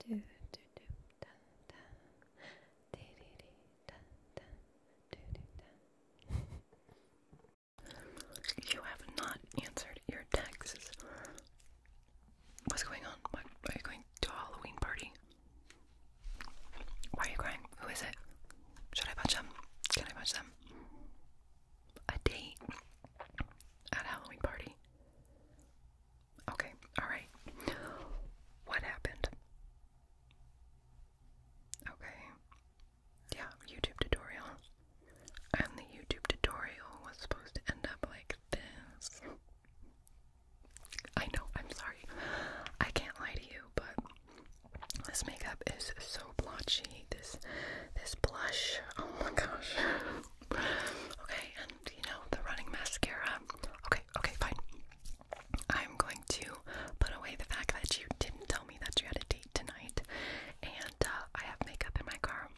do do do dun dun dee dee dee dun dun do do dun You have not answered your texts. What's going on? What are you going to a Halloween party? Why are you crying? Who is it? Should I punch them? Can I punch them? A date at a Halloween party. Okay, alright. What happened? Okay. Yeah, YouTube tutorial. And the YouTube tutorial was supposed to end up like this. I know, I'm sorry. I can't lie to you, but this makeup is so blotchy. This this blush. Oh my gosh. okay, you know, the running mascara. Okay, okay, fine. I'm going to put away the fact that you didn't tell me that you had a date tonight, and uh, I have makeup in my car.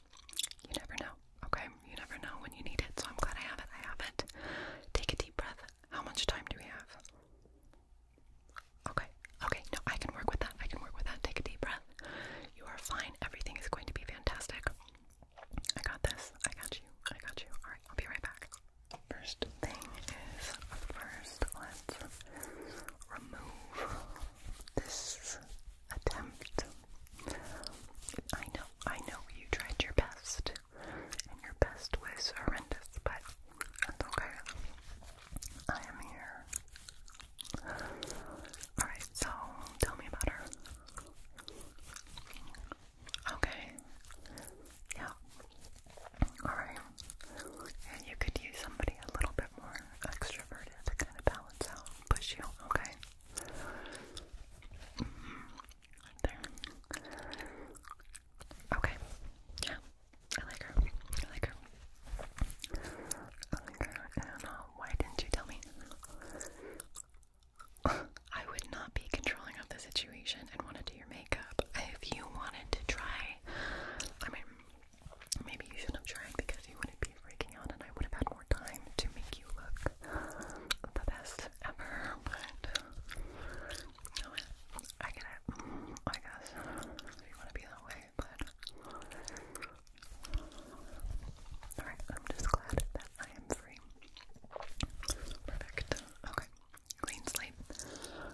You never know, okay? You never know when you need it, so I'm glad I have it. I have it. Take a deep breath. How much time do we have? Okay, okay, no, I can work with that. I can work with that. Take a deep breath. You are fine. Everything is going to be fantastic. I got this. I got you. I got you. Alright, I'll be right back. First thing is first, let's remove this attempt. I know, I know you tried your best, and your best was horrendous, but that's okay. I am here. Alright, so tell me about her. Okay. Yeah. Alright. And you could use somebody a little bit more extroverted to kind of balance out push you, okay? Mm-hmm. Okay. Yeah. I like her. I like her. I like her. Uh, why didn't you tell me? I would not be controlling of the situation and want to do your makeup. If you wanted to try, I mean, maybe you shouldn't have tried because you wouldn't be freaking out and I would have had more time to make you look the best ever. But, I get it, I guess. You want to be that way, but Alright, I'm just glad that I am free. Perfect. Okay. Clean slate.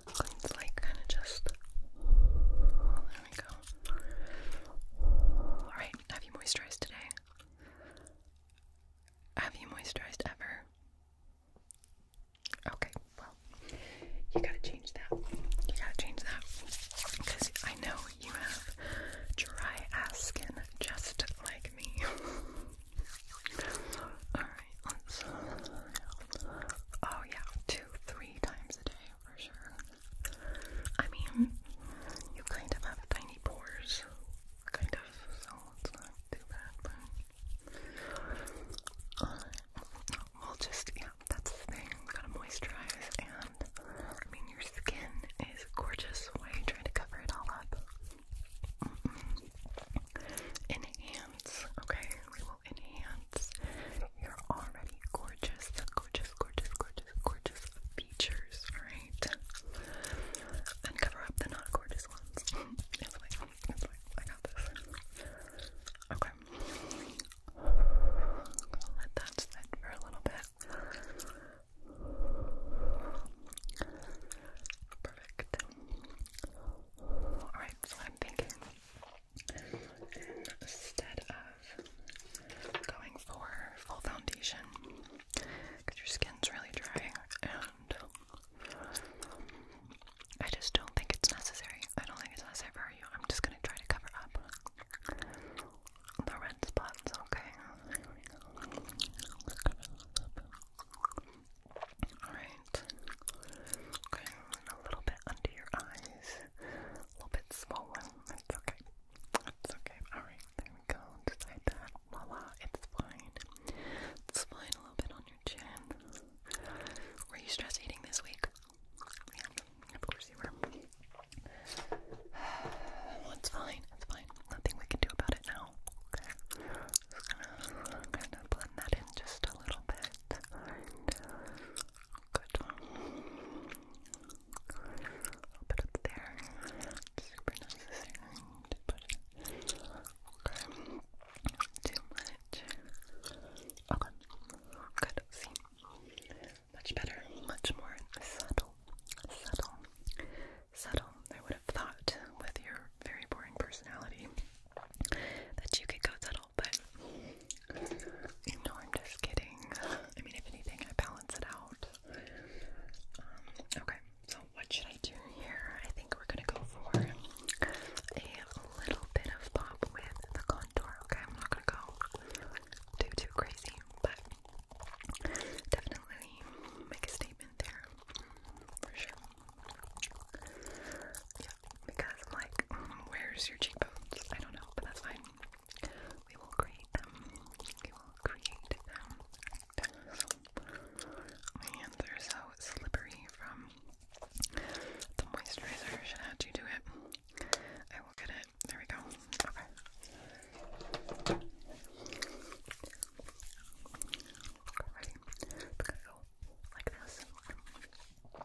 Clean slate kind of just. There we go. Alright, have you moisturized today? Have you moisturized ever? Okay, well, you gotta change that. You gotta change that. Because I know you have dry ass skin just like me. Alright, Oh, yeah, two, three times a day for sure. I mean, you kind of have tiny pores, kind of, so it's not too bad, but. Uh, just, yeah, that's the thing. Gotta moisturize, and I mean, your skin is gorgeous. Why are you trying to cover it all up? Mm-hmm. Enhance, okay? We will enhance your already gorgeous, gorgeous, gorgeous, gorgeous, gorgeous features, alright? And cover up the not gorgeous ones. it's fine, it's fine. I got this. Okay. let that sit for a little bit. Perfect. Alright, so I'm thinking instead of going for full foundation, because your skin's really dry, and I just don't think it's necessary. I don't think it's necessary for you. I'm just going to try to cover up the red spots, okay. Alright. Okay, a little bit under your eyes. A little bit swollen. It's okay. It's okay. Alright, there we go. Just like that. Voila, it's fine. It's fine a little bit on your chin. Were you stress eating this week? Yeah, of receiver. Well, it's fine. It's fine. Nothing we can do about it now. Okay. Just gonna blend that in just a little bit. Good. put it there. It's super necessary to put it. Okay. Too much. Okay. Good. See. Much better, much more subtle, subtle, subtle. I would have thought with your very boring personality that you could go subtle, but you know, I'm just kidding. I mean, if anything, I balance it out. Um, okay, so what should I do here? I think we're gonna go for a little bit of pop with the contour. Okay, I'm not gonna go too, too crazy, but Definitely make a statement there, for sure. Yeah, because like, where's your cheekbones? I don't know, but that's fine. We will create them. We will create them. My hands are so slippery from the moisturizer. Should I do it? I will get it there we go. Okay. Ready? It's like this. Good. Great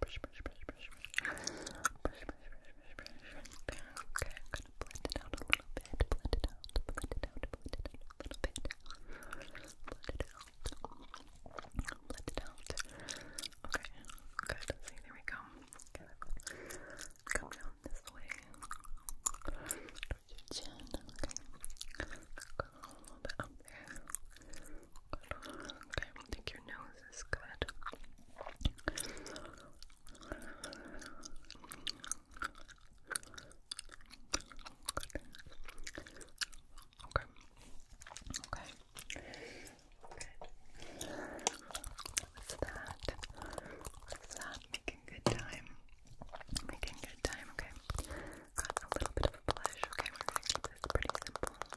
brush, brush, brush, brush, brush, brush, brush, brush, brush, brush. Okay, I'm gonna blend it out a little bit, blend it out, blend it out, blend it a little bit, blend it out, blend it out. Okay, good. there we go. Come down this way. Towards your chin. Okay. Go a little bit up there. Okay, I think your nose is good. Okay. Okay. Good. What's that? What's that? Making good time. Making good time, okay. Got a little bit of a blush, okay. We're gonna keep this pretty simple.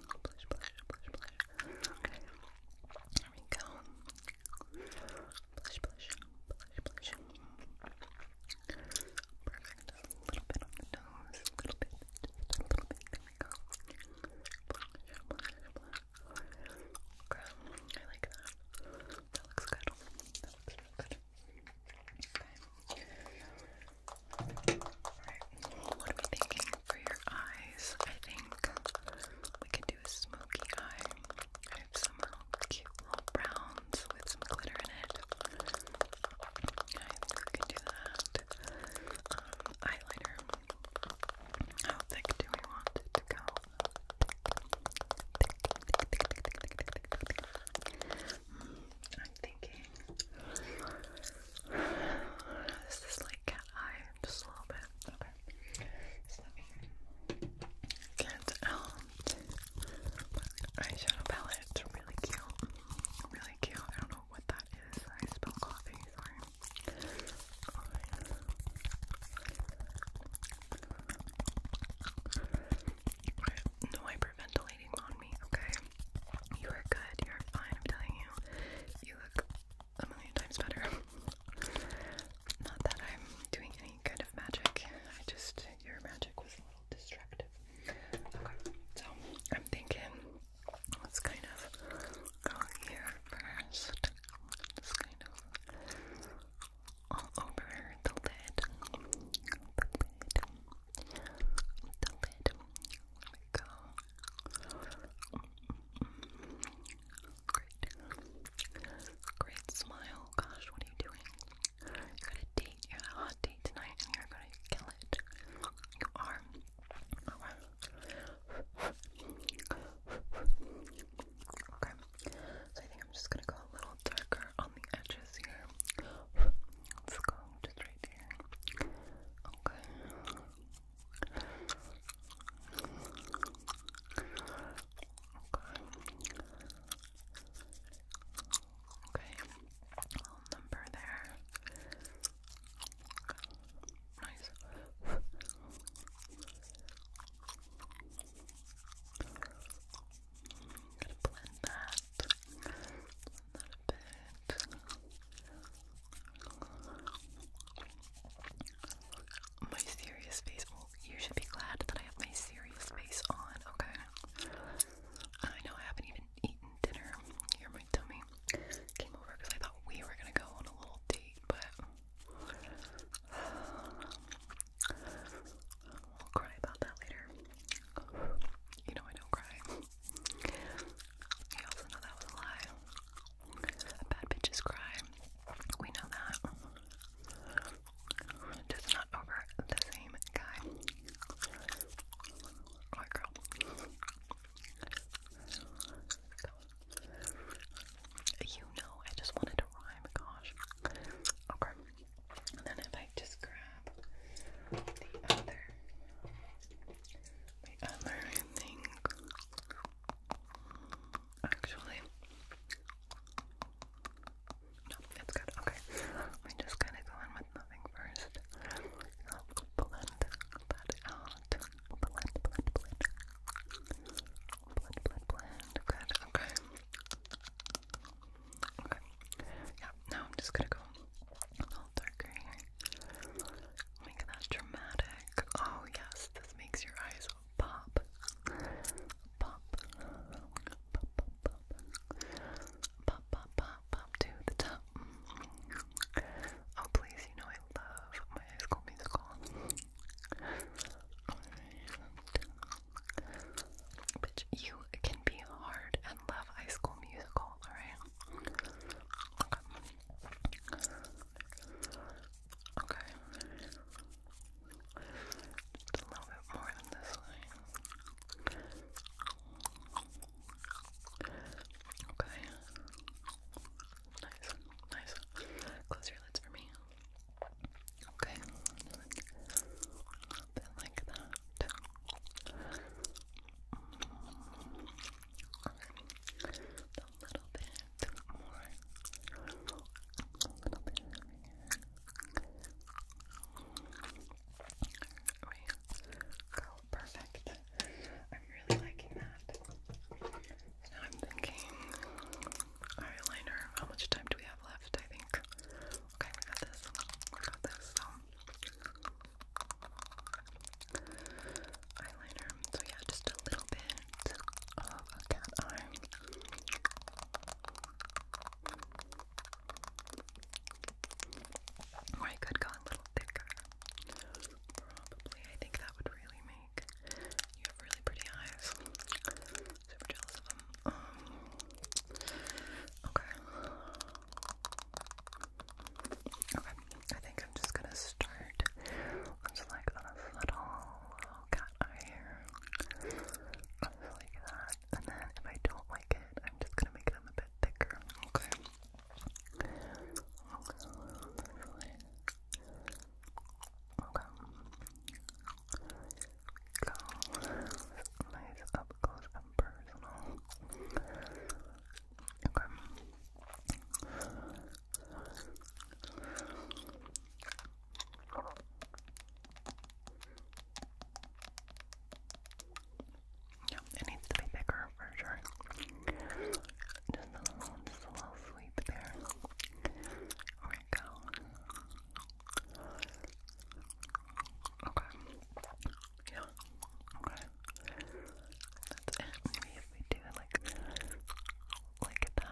Blush, blush, blush, blush. Okay. There we go. Blush, blush, blush, blush. Perfect. A little bit on the nose. A little bit. Just a little bit. There we go. Blush, blush, blush. Girl, I like that. That looks good. That looks really good. Okay what are we thinking for your eyes? I think we could do a smoky eye. some cute little browns with some glitter in it. I think we could do that. Um, How thick do we want it to go? Hmm. I'm thinking this is like cat eye, just a little bit. Okay. So get um, eyeshadow palette. really cute. Really cute. I don't know what that is. I spilled coffee, sorry. No hyperventilation on me, okay? You are good, you're fine, I'm telling you. You look a million times better. Not that I'm doing any kind of magic, I just, your magic was a little distractive. Okay, so I'm thinking, let's kind of go here first. Just kind of all over The lid the lid. Great. Great smile. Gosh, what are you doing? You got a date. You got a hot date tonight and you're gonna kill it. You are. Okay. So I think I'm just gonna go a little darker on the edges here. Let's go just right there. Okay. Okay. Okay, number there. Nice. gonna blend that, blend that bit. My serious face. Well, oh, you should be glad that I have my serious face on, okay? I know I haven't even eaten dinner. Here, my tummy came over because I thought we were gonna go on a little date, but we'll cry about that later. You know I don't cry. You also know that was a lie. A bad bitches cry. We know that. Just not over the same guy. Or girl. you know, I just wanted to rhyme, gosh. Okay. And then if I just grab the other the other I actually it's good, okay we just gotta go in with nothing first so blend blend, blend, blend blend, blend, blend, good, okay okay, yeah, now I'm just gonna go Oh Make that dramatic. Oh yes, this makes your eyes pop. Pop. Pop, pop, pop. Pop, pop, pop, pop to the top. Oh please, you know I love my high school musical. Bitch, you can be hard and love high school musical, alright? Okay. Just a little bit more than this way. Okay. Nice. Nice. Close your lids for me. Okay. A like that little bit A little bit over perfect. I'm really liking that. Now I'm thinking eyeliner. How much time do we have left? I think. Okay, we got this. We got this. Um, eyeliner. So yeah, just a little bit of a cat eye. Or I could go a little thicker. Probably, I think that would really make you have really pretty eyes. Super jealous of them. Um, okay. Okay, I think I'm just gonna start just like on little, cat eye like that. And then if I don't like it, I'm just gonna make them a bit thicker. Okay. Okay. Go. Nice up close and personal. Okay. it needs to be bigger for sure. Just a little, just there. There we go. Okay. Yeah. Okay. That's it. Maybe if we do like like that.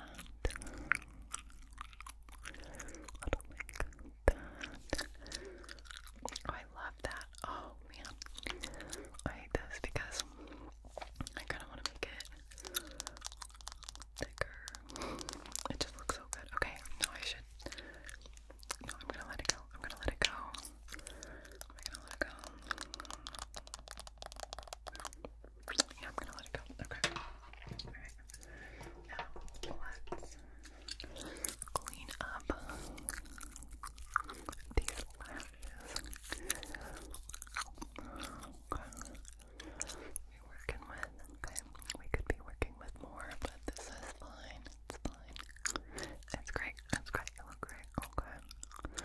Oh, I love that. Oh man. I hate this because I kinda wanna make it thicker. It just looks so good. Okay, no I should no, I'm gonna let it go. I'm gonna let it go. Am gonna let it go? Yeah, I'm gonna let it go. Okay. Alright. Now, let's clean up these lashes. We're working with, okay, we could be working with more, but this is fine. It's fine. It's great. It's great. It looked great. Okay. I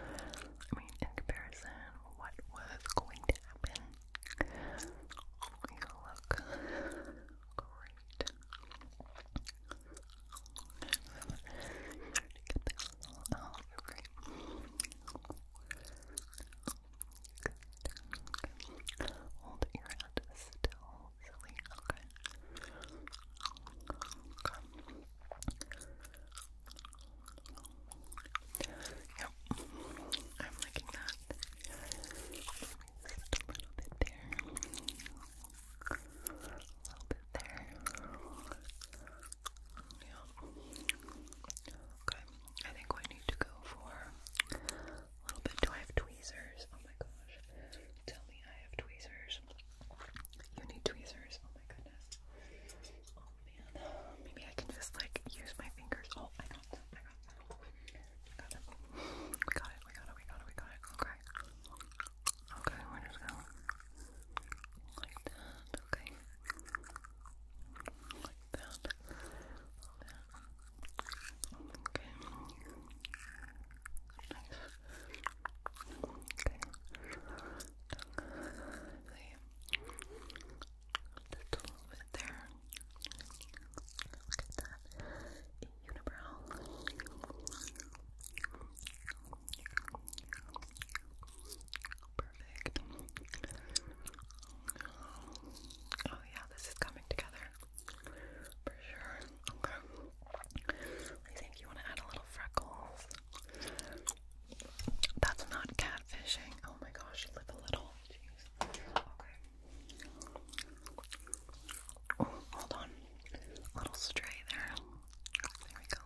mean, in comparison, what was going to happen? You look great. Get this all out. You're great. Good. Hold your still silly. Okay. okay. Yep. I'm liking that. a little bit there. A little bit there. Yeah. Oh, okay. I think we need to go for a little bit. Do I have tweezers? Oh my gosh. Tell me I have tweezers. You need tweezers. Oh my goodness. Oh man. Maybe I can just like use my fingers. Oh, I got them. I got them. We got it. We got it. We got it. We got it. Okay. Okay, we're just going like that. Okay. Like that. Okay bit there. Look at that. Unibrow. Perfect. Oh yeah, this is coming together. For sure. Okay. I think you want to add a little freckles. That's not catfishing. Oh my gosh, lip a little. Jeez. Okay. Oh, hold on. A little stray there. There we go.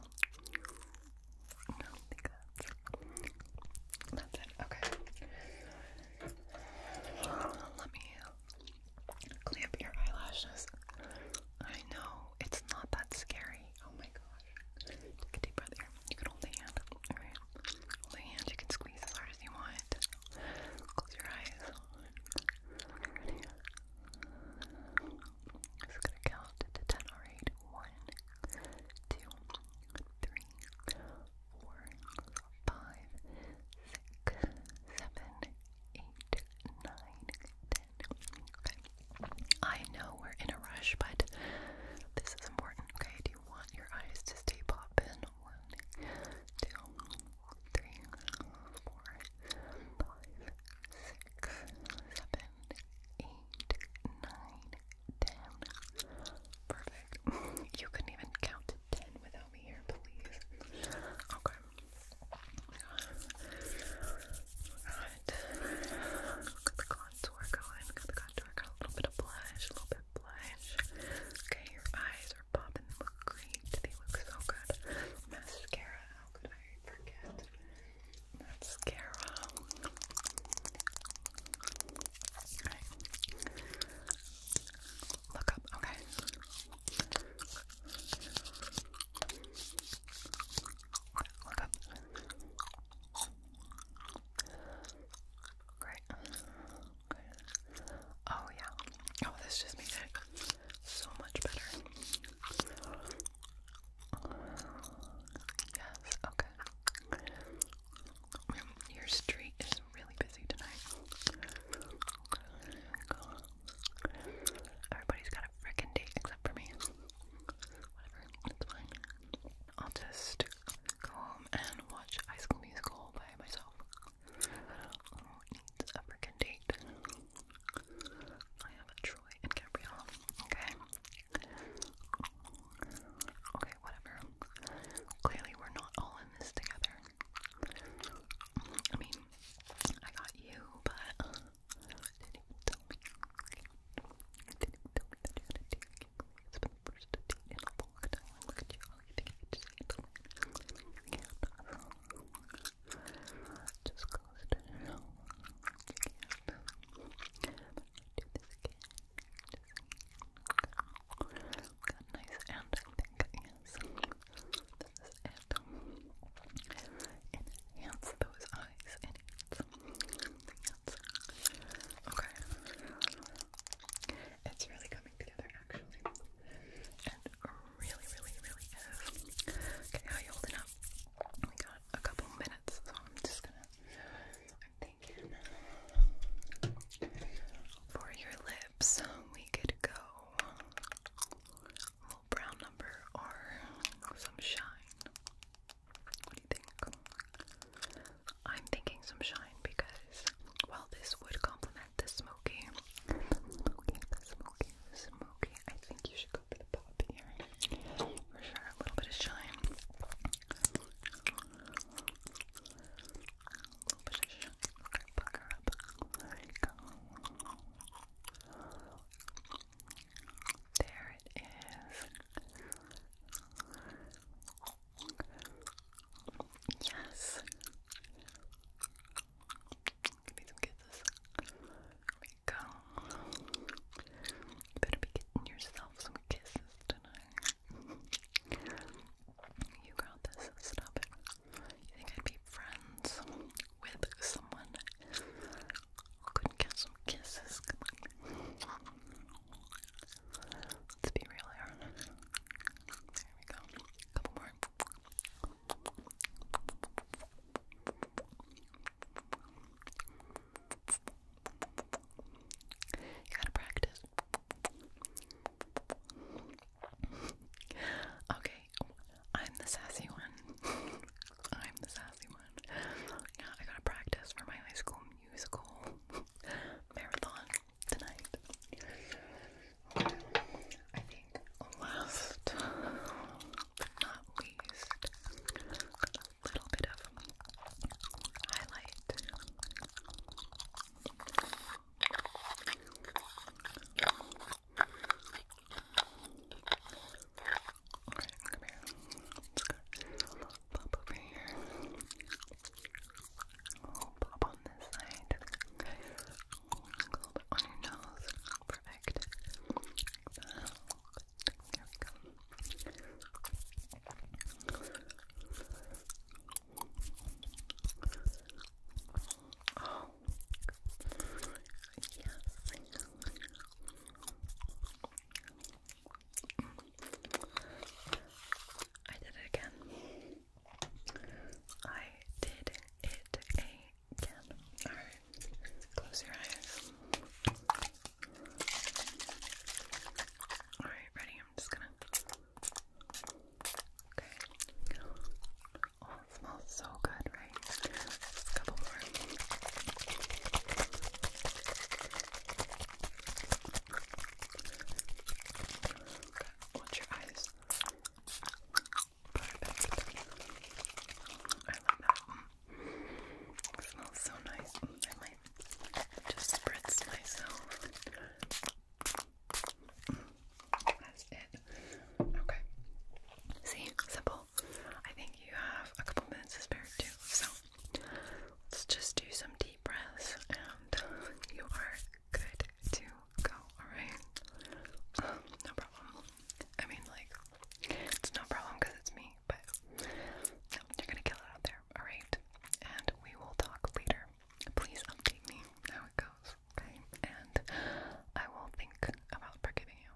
No, I think that's, that's it. Okay. Let me Clean up your eyelashes. I know, it's not that scary. Oh my gosh. Take a deep breath here. You can hold the hand. Alright. Hold the hand. You can squeeze as hard as you want. Close your eyes. I'm just gonna count to ten, alright? One, two, three, four, five, six, seven, eight, nine, ten. Okay. I know we're in a rush, but this is important. Okay, do you want your eyes to stay poppin? One, two, three, four, five, six, seven, eight, nine, ten. Perfect. You couldn't even count to ten without me here, please. Okay. Alright. Got the contour going. Got the contour. Got a little bit of blush. A little bit blush. Okay, your eyes are popping. They look great. They look so good. Mascara. How could I forget? Mascara. Alright. Look up. Okay. Look Great. Oh yeah. Oh, this just makes it so much better. Yes. Okay. Your street is really busy tonight. Everybody's got a frickin' date except for me. Whatever, it's fine. I'll just go home and watch High School Musical by myself. Who needs a frickin' date? I have a Troy and Gabrielle. Okay. Okay, whatever. Clearly, we're not all in this together. I mean, I got you, but didn't tell me. Didn't tell me that you had a date. It's been the first date in a long Look at you. All you think you just ate Just close it do this again. Just got nice and I yes. This those eyes. Okay. It's really coming together, actually. And really, really, really is. Okay, are you holding up? We got a couple minutes, so I'm just gonna. I'm thinking. For your lips, we could go little brown number or some shine. What do you think? I'm thinking some shine because, well, this would complement the smoky. The smoky, the smoky, I think you should go for the pop here. For sure, a little bit of shine. A little bit of shine. Okay, pucker up. There you go. There it is. Yes. some kisses. we go. better be getting yourself some kisses tonight. you got this. Stop it. You think I'd be friends with someone who couldn't some kisses? Come on. Let's be real here. There we go. A couple more. You gotta practice okay, I'm the sassy one. I'm the sassy one. Now I gotta practice for my high school musical marathon tonight. I think last but not least, a little bit of highlight. Alright, come here. Let's go. Pop over here. Oh, pop on this side. Okay. on your nose. Perfect. Uh, there we go. Oh, I did it again. I did it again. Alright, close your eyes. Alright, ready? I'm just gonna. Okay, smells so good, right? couple more. Okay, watch your eyes. I love that. smells so nice. I might just spritz myself. That's it. Okay. See, simple. I think you have a couple minutes to spare too. So let's just do some deep breaths, and you are good to go. All right. Um, no problem. I mean, like, it's no problem because it's me, but you're gonna kill it out there. All right. And we will talk later. Please update me how it goes. And I will think about forgiving you.